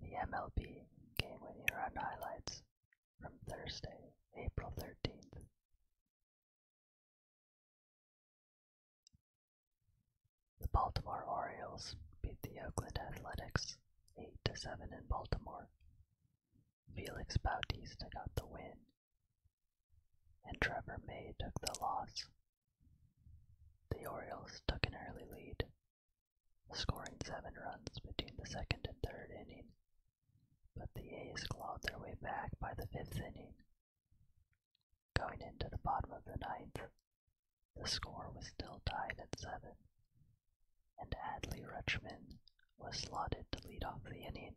The MLB game winning run highlights from Thursday, April 13th. The Baltimore Orioles beat the Oakland Athletics 8 to 7 in Baltimore. Felix Bautista got the win, and Trevor May took the loss. The Orioles took an early lead, scoring seven runs between the second and third inning, but the A's clawed their way back by the fifth inning. Going into the bottom of the ninth, the score was still tied at seven, and Adley Rutschman was slotted to lead off the inning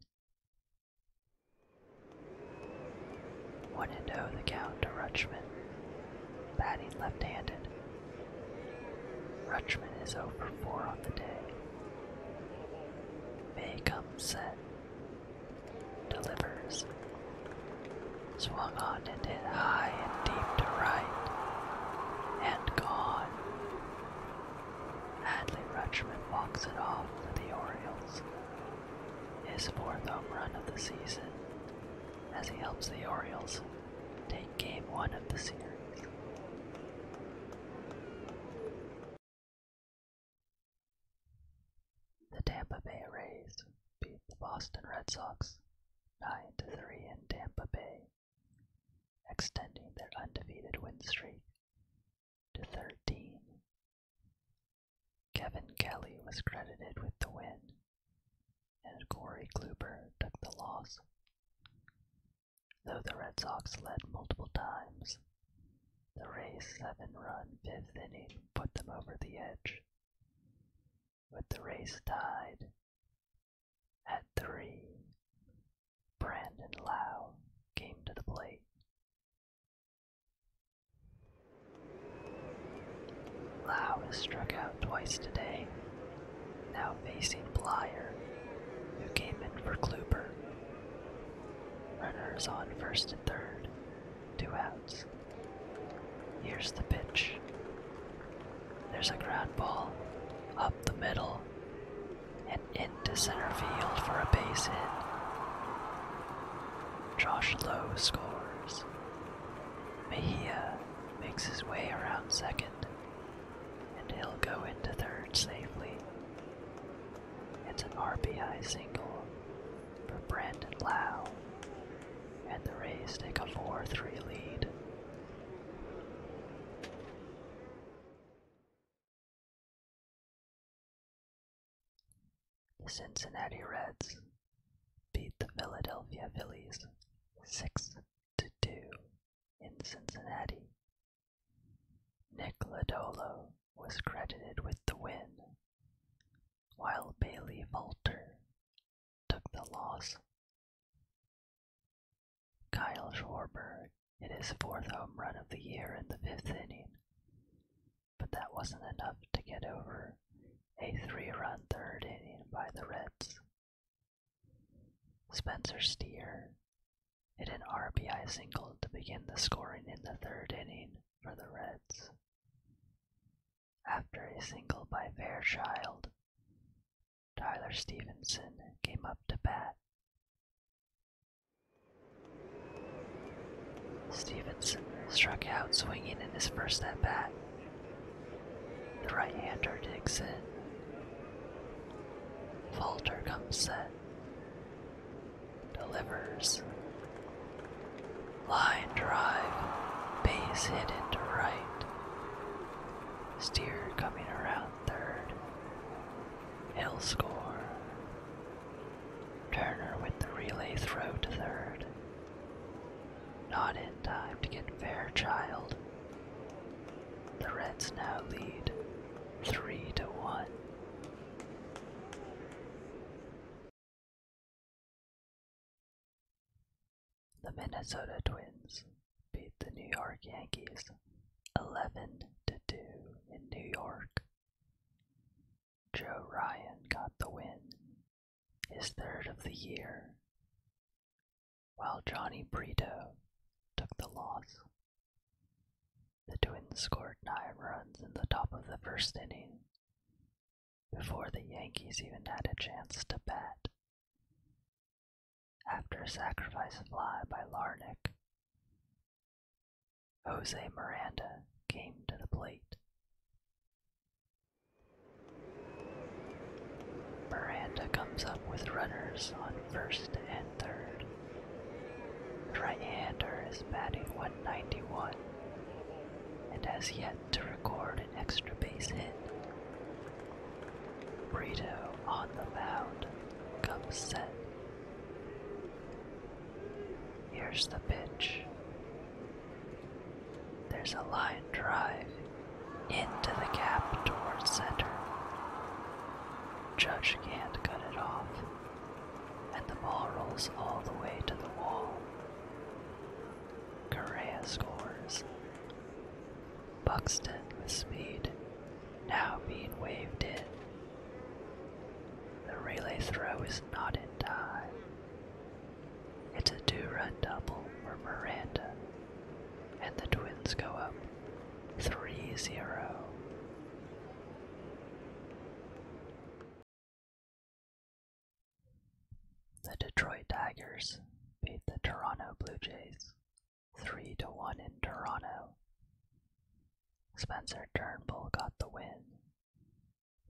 one and oh the count to Rutschman, batting left-handed. Rutschman is over 4 on the day. May comes set, delivers. Swung on and hit high and deep to right, and gone. Hadley Rutschman walks it off for the Orioles his fourth home run of the season as he helps the Orioles take game one of the series. The Tampa Bay Rays beat the Boston Red Sox 9 to 3 in Tampa Bay, extending their undefeated win streak to 13. Kevin Kelly was credited with the win, and Corey Kluber took the loss. Though the Red Sox led multiple times, the Rays' seven run fifth inning put them over the edge. With the race tied at three, Brandon Lowe came to the plate Lau has struck out twice today, now facing Blyer, who came in for Kluber. Runners on first and third, two outs. Here's the pitch. There's a ground ball up the middle and into center field for a base hit. Josh Lowe scores. Mejia makes his way around second, and he'll go into third safely. It's an RBI single for Brandon Lau, and the Rays take a 4 3 lead. The Cincinnati Reds beat the Philadelphia Phillies 6 to 2 in Cincinnati. Nick Lodolo was credited with the win, while Bailey Falter took the loss. Kyle Schwarber hit his fourth home run of the year in the fifth inning, but that wasn't enough to get over a three run third inning by the Reds. Spencer Steer hit an RBI single to begin the scoring in the third inning for the Reds. After a single by Fairchild, Tyler Stevenson came up to bat. Stevenson struck out swinging in his first at bat. The right hander Dixon, in. comes set. Delivers. Line drive. Base hit into right. Steer coming around third. Hill score. Turner with the relay throw to third. Not in time to get Fairchild. The Reds now lead three to one. The Minnesota Twins beat the New York Yankees 11 to 2 in New York. Joe Ryan got the win, his third of the year, while Johnny Brito took the loss. The Twins scored nine runs in the top of the first inning before the Yankees even had a chance to bat after a sacrifice fly by Larnick. Jose Miranda came to the plate. Miranda comes up with runners on first and third. Right-hander is batting 191 and has yet to record an extra base hit. burrito on the mound, comes set. Here's the pitch. There's a line drive into the gap towards center. Judge can't cut it off, and the ball rolls all the way to the wall. Correa scores Buxton with speed, now being waved in. The relay throw is not in time. It's a two-run double for Miranda, and the Twins go up 3-0. The Detroit Tigers beat the Toronto Blue Jays 3 to 1 in Toronto. Spencer Turnbull got the win,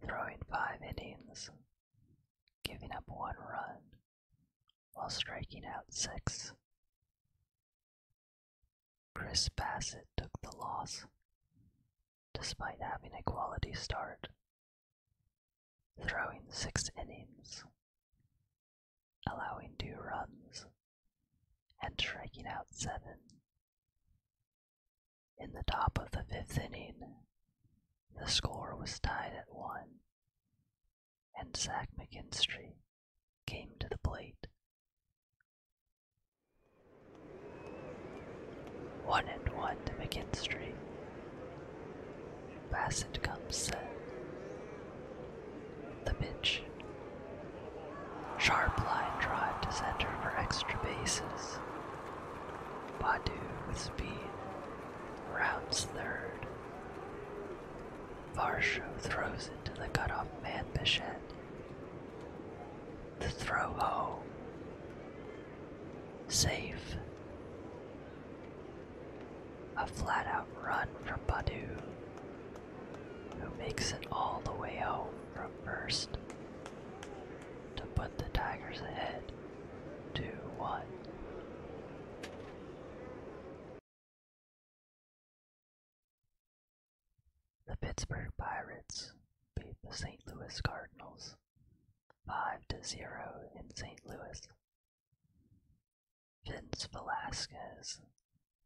throwing 5 innings, giving up 1 run while striking out 6. Chris Bassett took the loss despite having a quality start throwing six innings, allowing two runs, and striking out seven. In the top of the fifth inning, the score was tied at one, and Zach McKinstry came to the plate. One and one to McKinstry. Bassett comes set. The pitch. Sharp line drive to center for extra bases. Badu with speed rounds third. Varsho throws into to the cutoff man Bichette. The throw home. Safe. A flat out run from Badu, who makes it all the way home from first to put the Tigers ahead 2 1. The Pittsburgh Pirates beat the St. Louis Cardinals 5 to 0 in St. Louis. Vince Velasquez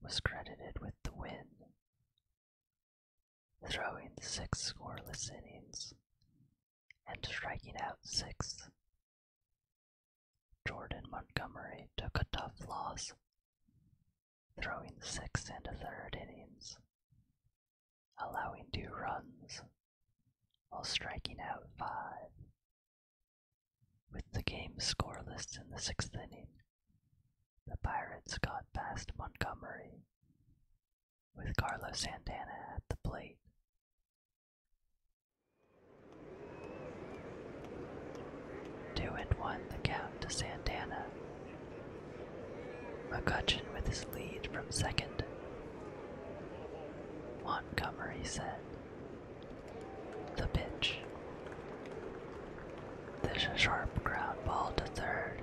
was credited with the win, throwing six scoreless innings and striking out six. Jordan Montgomery took a tough loss, throwing six and a third innings allowing two runs while striking out five. With the game scoreless in the sixth inning, the Pirates got past Montgomery with Carlos Santana at the plate. Two and one the count to Santana, McCutchen with his lead from second. Montgomery said, The pitch. There's a sharp ground ball to third.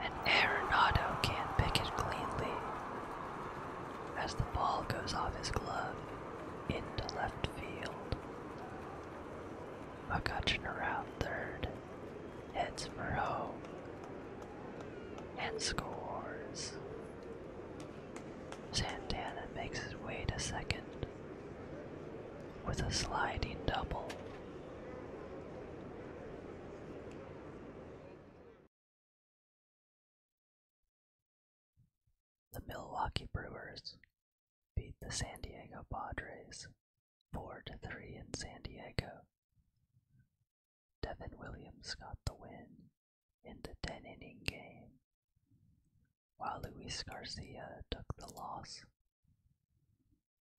And Arenado can't pick it cleanly. As the ball goes off his glove into left field. McCutcheon around third, heads for home, and scores. Santana makes his way to second with a sliding double. The Milwaukee Brewers beat the San Diego Padres 4 to 3 in San Diego. Devin Williams got the win in the 10 inning game, while Luis Garcia took the loss.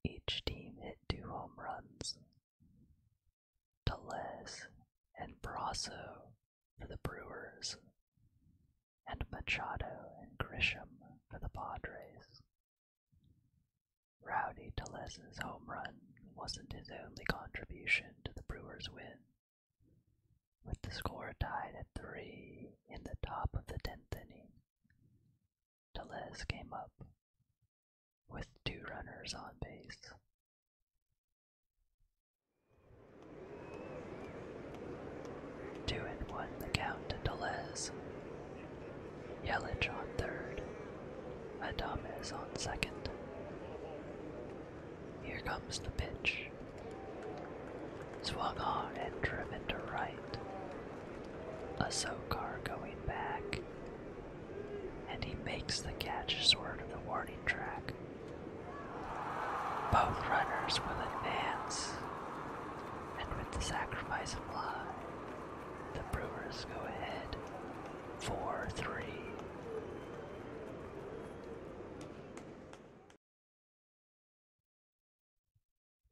Each team hit two home runs. Teles and Brasso for the Brewers and Machado and Grisham for the Padres. Rowdy Tellez's home run wasn't his only contribution to the Brewers' win. With the score tied at three in the top of the tenth inning, Tellez came up with two runners on base. Two and one, the Count to Deleuze. Yelich on third. Adames on second. Here comes the pitch. Swung on and driven to right. A Sokar going back. And he makes the catch sort of the warning track. Both runners will advance, and with the sacrifice of blood, the Brewers go ahead 4 3.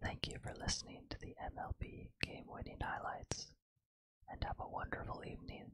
Thank you for listening to the MLB game winning highlights, and have a wonderful evening.